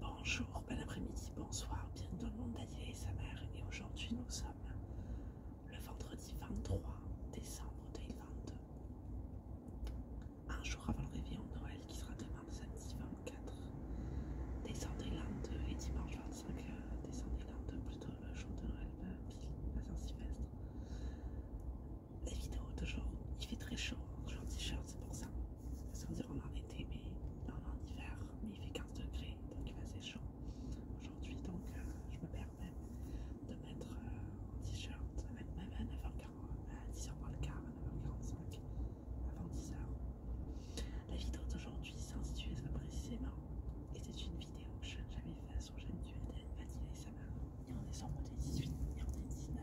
Bonjour, bon après-midi, bonsoir, bienvenue dans le monde d'Adila et sa mère. Et aujourd'hui, nous sommes le vendredi 23 décembre 2022. Un jour avant le réveillon de Noël qui sera demain samedi 24 décembre 2022 et dimanche 25 euh, décembre 2022, plutôt le jour de Noël pile euh, Saint-Sylvestre. La vidéo d'aujourd'hui, il fait très chaud, hein, je t-shirt, c'est pour ça sans dire on est en été, mais on est en hiver, mais il fait 15 degrés, donc il va assez chaud aujourd'hui, donc euh, je me permets de mettre euh, un t-shirt, même, ma à 9 à 10h moins à 9h45, avant 10h. La vidéo d'aujourd'hui s'intitule très précisément, et c'est une vidéo que je n'ai jamais faite sur chaîne du Vanilla et ça et on en sur 18, et 19.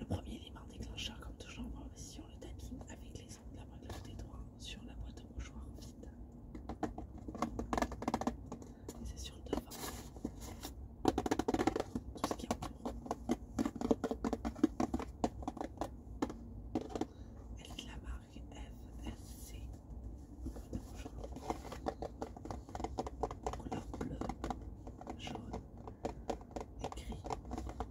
Le premier élément déclencheur, comme toujours en on le tapping avec les ongles la main des doigts sur la boîte au mouchoir vide. C'est sur le devant. Tout ce qui cours. Elle est de la marque FSC couleur bleue, jaune et gris. Voilà.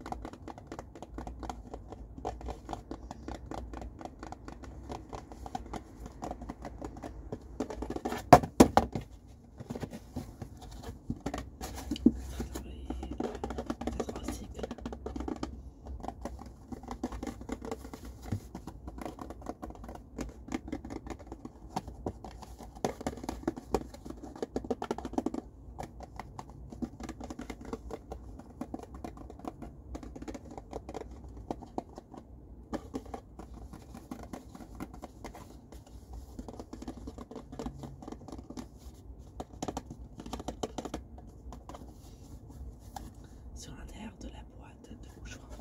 Sur l'intérieur de la boîte droite de mouchoir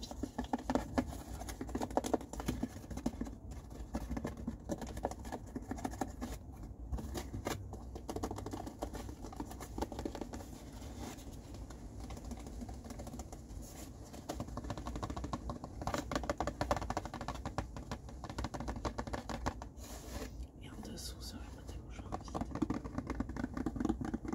Et en dessous sur la boîte de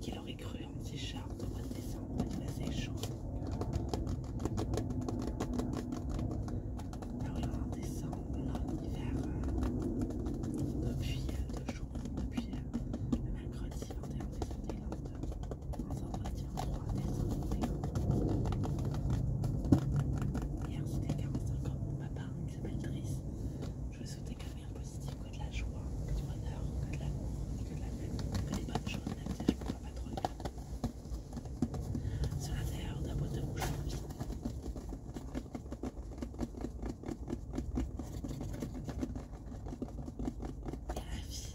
Qu'il aurait cru en petit chat de mois de décembre, il faisait chaud. Alors là, en décembre, là, hiver, euh, depuis euh, deux jours, depuis malgré euh, le mercredi 21 décembre, on va partir en 3D. Hier, c'était Carmessol comme mon papa qui s'appelle Driss. Je lui souhaitais qu'un meilleur positif, que de la joie, que du bonheur, que de l'amour, que de la paix, que des bonnes choses, même si je ne pourrais pas trop le faire. Sur l'intérieur d'un boîte rouge bouche vide. Et la vie,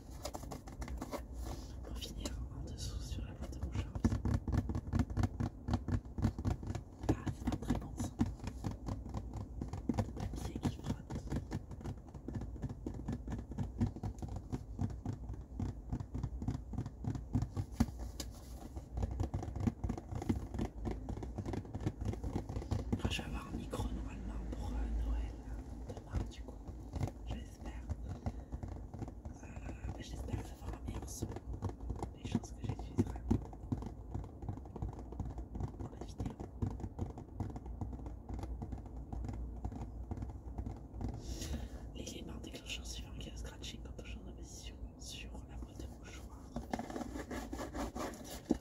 Pour finir en dessous sur la boîte de mouchoirs. Ah, c'est pas très bon ça. Le papier qui frotte. Ah, je vais avoir un micro normalement pour euh, Noël du coup, j'espère. Euh, que ça avoir un meilleur son les choses que j'utiliserai dans la vidéo. L'élément déclencheur suivant qui le scratching quand toujours change position sur la boîte de mouchoir.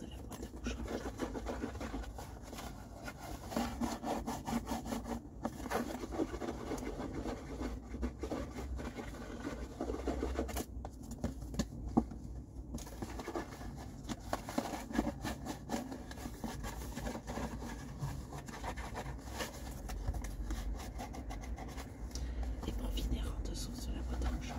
de la boîte à Et pour finir, en dessous de la boîte à mouchoirs,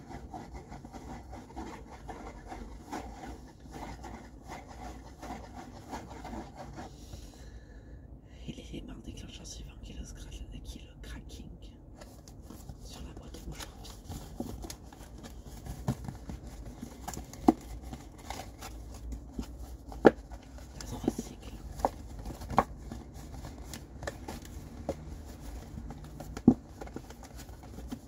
Il est barres déclencheur suivant qui qui le cracking sur la boîte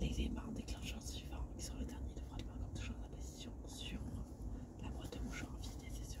Les L'élément déclencheur suivant qui sont le dernier de vraiment comme toujours la position sur la boîte de mouchoir vide et c'est sur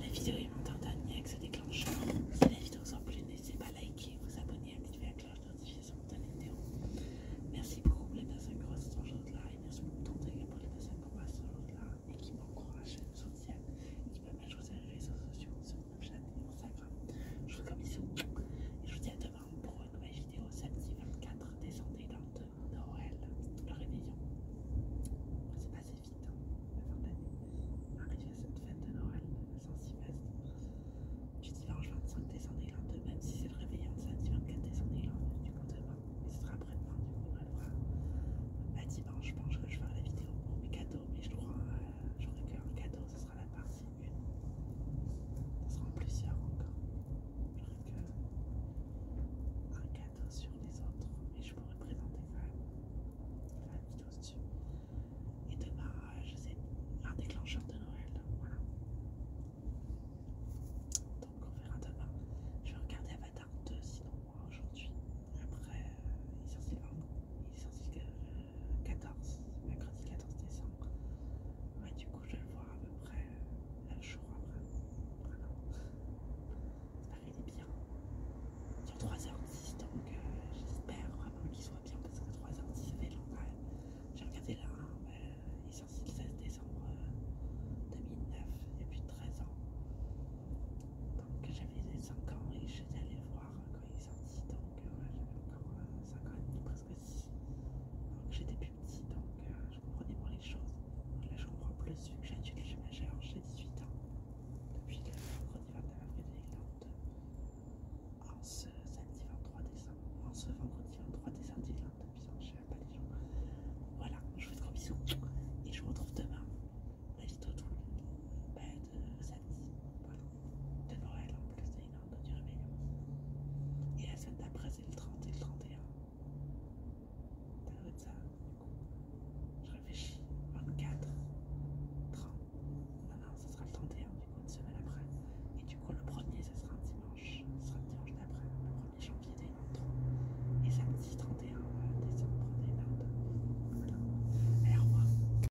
La vidéo est montée en dernier avec ce déclencheur. Si la vidéo vous a plu, n'hésitez pas à liker, vous abonner, activer la cloche de notification de la vidéo. Merci beaucoup les personnes qui restent de là et merci beaucoup pour les personnes qui restent de là et qui m'encouragent, me soutiennent, qui je vous sur les réseaux sociaux, sur Snapchat et Instagram. Je vous comme ici. Et je vous dis à demain pour une nouvelle vidéo samedi 24 décembre et 22 Noël. Le réveillon. C'est passé vite hein, la fin d'année. Arrivé à cette fin de Noël, le s'y passer. Du dimanche 25 décembre et 22, même si c'est le réveillon de samedi 24 décembre et 22, du coup demain. Mais ce sera après-demain, du coup on le à bah, dimanche, je pense que je ferai la vidéo pour mes cadeaux, mais je crois, j'aurai que un cadeau, la partie 1. Ce seront plusieurs encore. J'aurai que un cadeau sur les autres, mais je pourrais présenter quand même la vidéo dessus. Et demain, euh, je sais, un déclencheur de Noël. Voilà. Donc on verra demain. Je vais regarder Avatar 2 sinon aujourd'hui. Après, euh, il est censé, il est sorti que euh, 14, mercredi 14 décembre. du coup, je le vois à peu près euh, un jour après. J'espère Ça il est bien. Sur 3h10, donc euh, j'espère vraiment qu'il soit bien parce que 3h10 ça fait longtemps. Hein. J'ai regardé là, hein, euh, il est sorti le 16 décembre 2009, il y a plus de 13 ans. Donc j'avais 5 ans et je j'étais allée voir quand il est sorti, donc euh, j'avais encore 5 euh, ans et demi, presque 6. Donc j'étais plus petit, donc euh, je comprenais moins les choses. Donc là je comprends plus vu que j'ai adulte, j'ai j'ai 18 ans. Depuis le vendredi 29 avril 2022, en ce samedi 23 décembre, en ce vendredi 23 décembre 2022, puisque je ne pas les gens. Voilà, je vous fais gros bisous et je vous retrouve demain. La vidéo tout le bah, de voilà. De Noël en plus, c'est une heure de réveillon. Et la semaine d'après, c'est le 30 et le 31. Ça doit de ça. Du coup, je réfléchis. 24, 30. Non, non, ce sera le 31, du coup, une semaine après. Et du coup, le premier, ce sera un dimanche. Ce sera le dimanche d'après, le 1er janvier 2023. Et samedi 31 euh, décembre 2022. Voilà. Alors, moi.